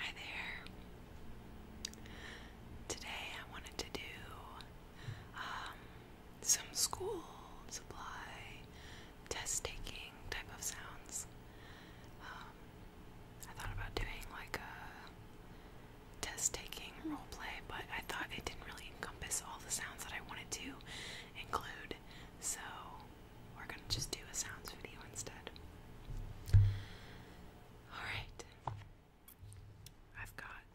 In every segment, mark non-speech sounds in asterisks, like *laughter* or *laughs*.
Hi there. Today I wanted to do um, some school supply test taking type of sounds. Um, I thought about doing like a test taking role play, but I thought it didn't really encompass all the sounds that I wanted to include. So we're gonna just do a sounds video instead. Alright. I've got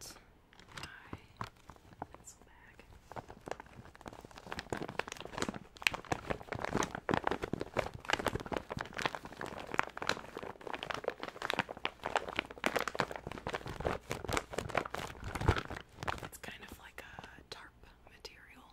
my pencil bag. It's kind of like a tarp material.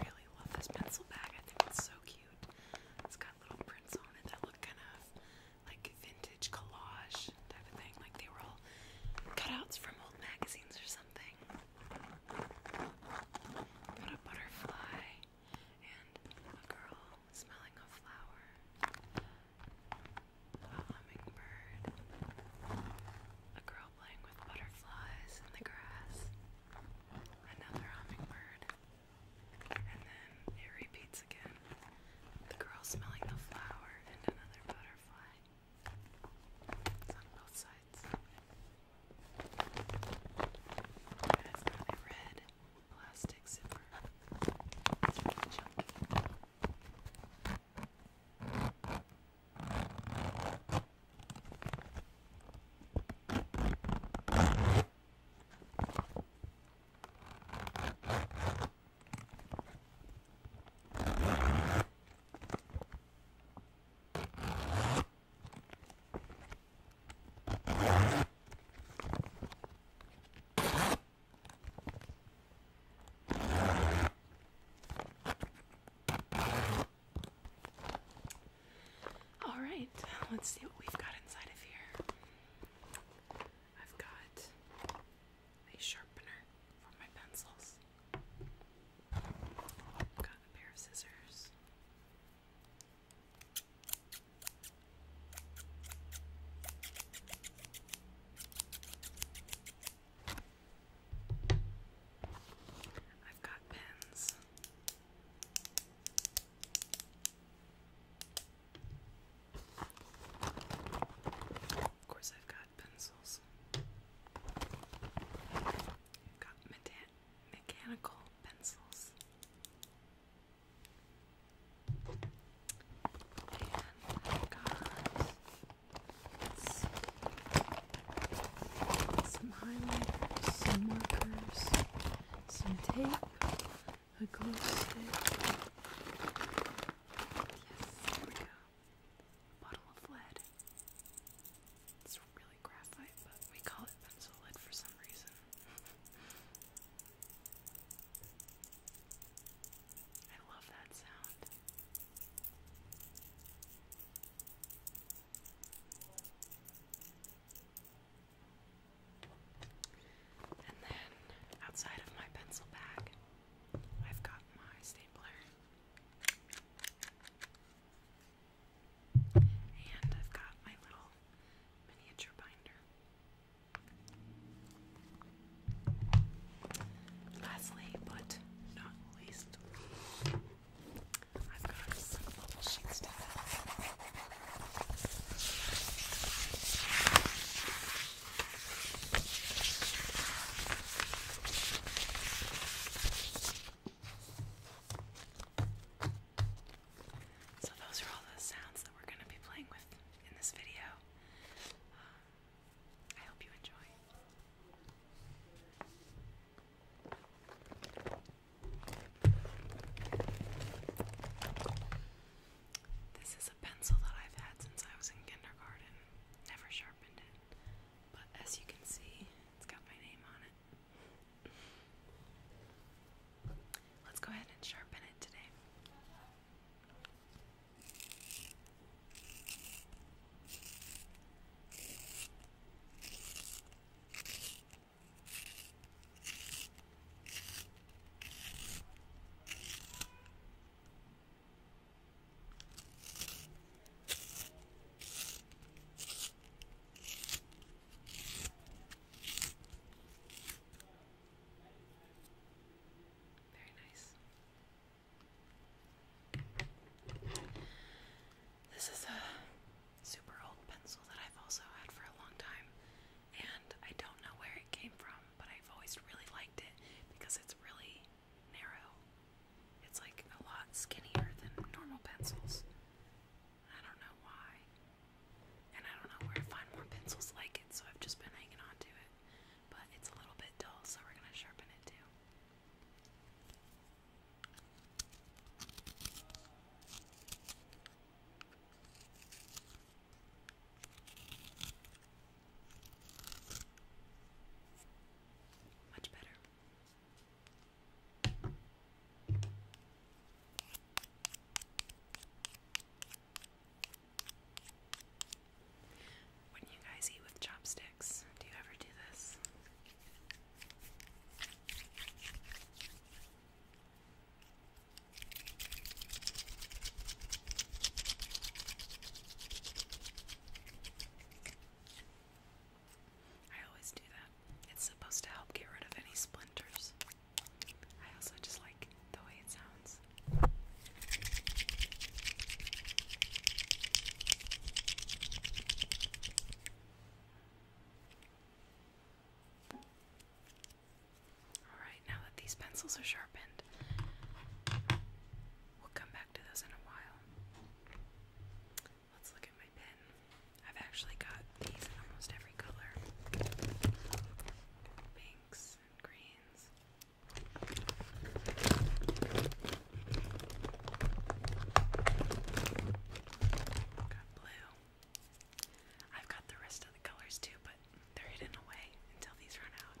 really love this pencil bag. I think it's so cute. It's got little prints on it that look kind of like vintage collage type of thing. Like they were all cutouts from old magazines or something. Got a butterfly and a girl smelling a flower, a hummingbird, a girl playing with butterflies in the grass, another hummingbird, and then it repeats again. The girl smelling the flower and another butterfly. It's on both sides. It's red plastic zipper. It's really chunky. All right, let's see what we've got inside of here. I've got a sharpener for my pencils. I've got a pair of scissors. I've got pens. Of course, I've got pencils. got mechanical pencils i got some highlighters, some markers, some tape, a glue stick. Yes, there we go. bottle of lead. It's really graphite, but we call it pencil lead for some reason. *laughs* I love that sound. And then outside of my pencil bag, I've got my stapler. And I've got my little miniature binder. Lastly, but not least, i got some bubble sheets so those are all the sounds that we're going to be playing with in this video. Uh, I hope you enjoy. This is a pencil that I've had since I was in kindergarten. Never sharpened it. But as you can see, it's got my name on it. Let's go ahead and sharpen it today. Very nice. This is a super old pencil that I've also had for a long time, and I don't know where it came from, but I've always really liked it because it's really narrow. It's like a lot skinnier than normal pencils. I don't know why and I don't know where to find more pencils like it, so I've just been hanging on to it. But it's a little bit dull, so we're gonna sharpen it too. Much better. When you guys eat with chopsticks, do you ever do this? I always do that. It's supposed to help get rid of any splinters. I also just like the way it sounds. Alright, now that these pencils are sharpened, we'll come back to those in a while. Let's look at my pen. I've actually got these in almost every color. Pinks and greens. Got blue. I've got the rest of the colors too, but they're hidden away until these run out.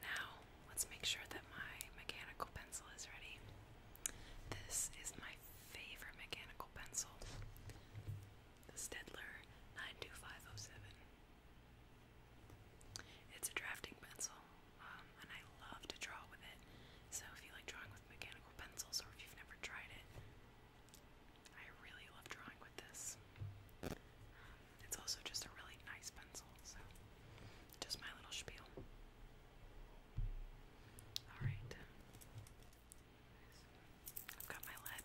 Now, let's make sure that my mechanical pencil is ready. This is my favorite mechanical pencil, the Stedler 92507. It's a drafting pencil, um, and I love to draw with it. So, if you like drawing with mechanical pencils or if you've never tried it, I really love drawing with this. It's also just a really nice pencil, so just my little spiel. Alright. I've got my lead.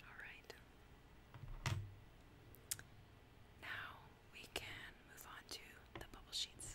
All right. Now we can move on to the bubble sheets.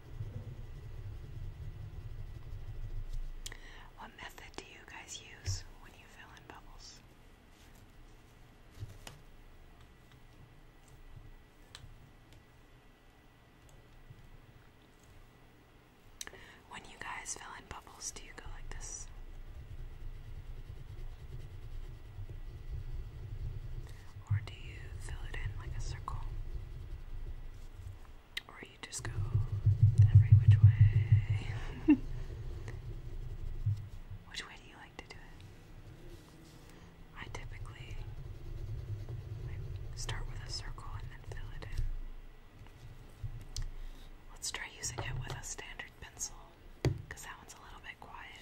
What method do you guys use when you fill in bubbles? When you guys fill in bubbles, do you go like this? Or do you fill it in like a circle? Or you just go every which way. *laughs* which way do you like to do it? I typically start with a circle and then fill it in. Let's try using it with a standard pencil because that one's a little bit quiet.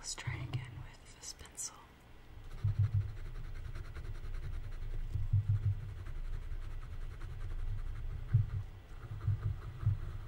Let's try again with this pencil.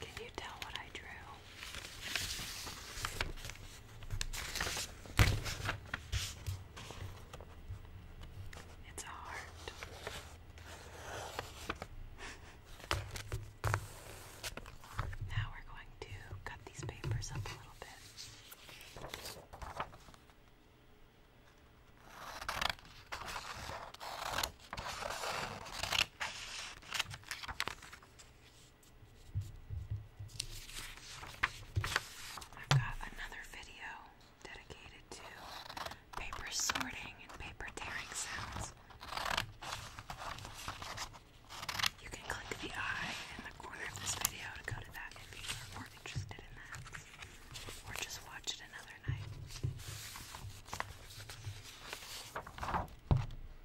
Can you tell what I drew? It's a heart. now we're going to cut these papers up a little bit. I've got another video dedicated to paper sorting and paper tearing sounds. You can click the eye in the corner of this video to go to that if you are more interested in that, or just watch it another night.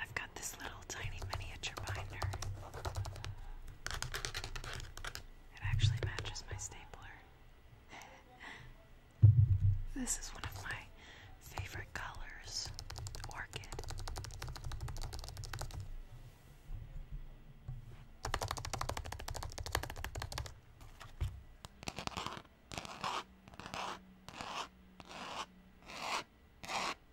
I've got this little tiny miniature binder. It actually matches my stapler. *laughs* this is one of my favorite colors orchid.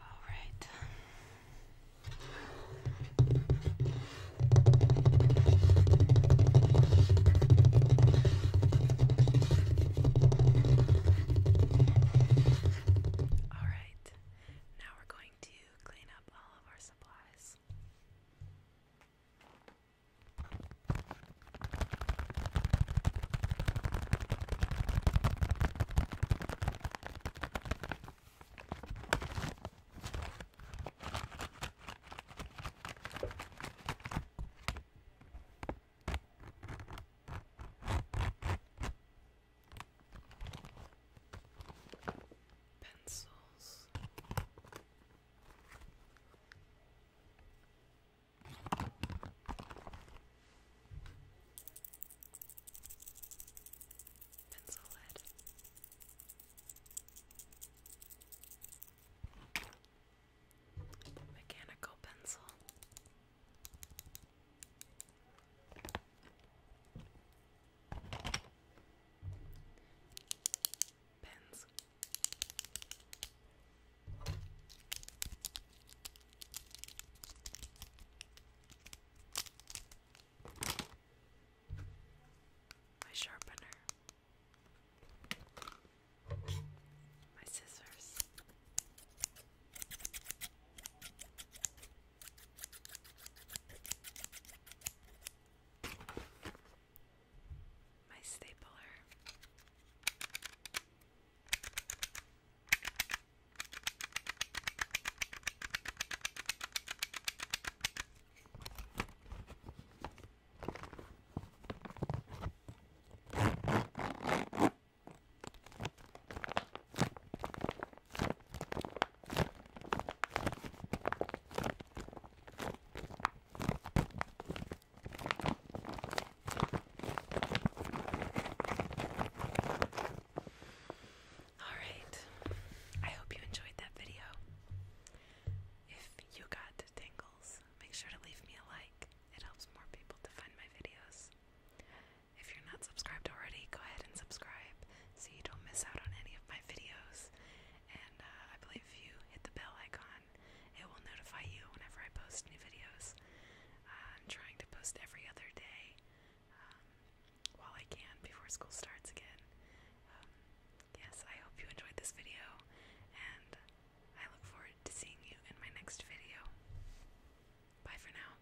All right. All right. Now we're going to clean up all of our supplies else. Pencils else. Pencil lead. Mechanical pencil. Pens. My sharpener. My scissors my stapler. All right. I hope you enjoyed that video. If you got tingles, make sure to leave me a like. It helps more people to find my videos. If you're not subscribed already, go ahead and subscribe so you don't miss out on any of my videos. And uh, I believe if you hit the bell icon, it will notify you whenever I post new videos. Uh, I'm trying to post every other day um, while I can before school starts again. Um, yes, I hope you enjoyed this video, and I look forward to seeing you in my next video. Bye for now.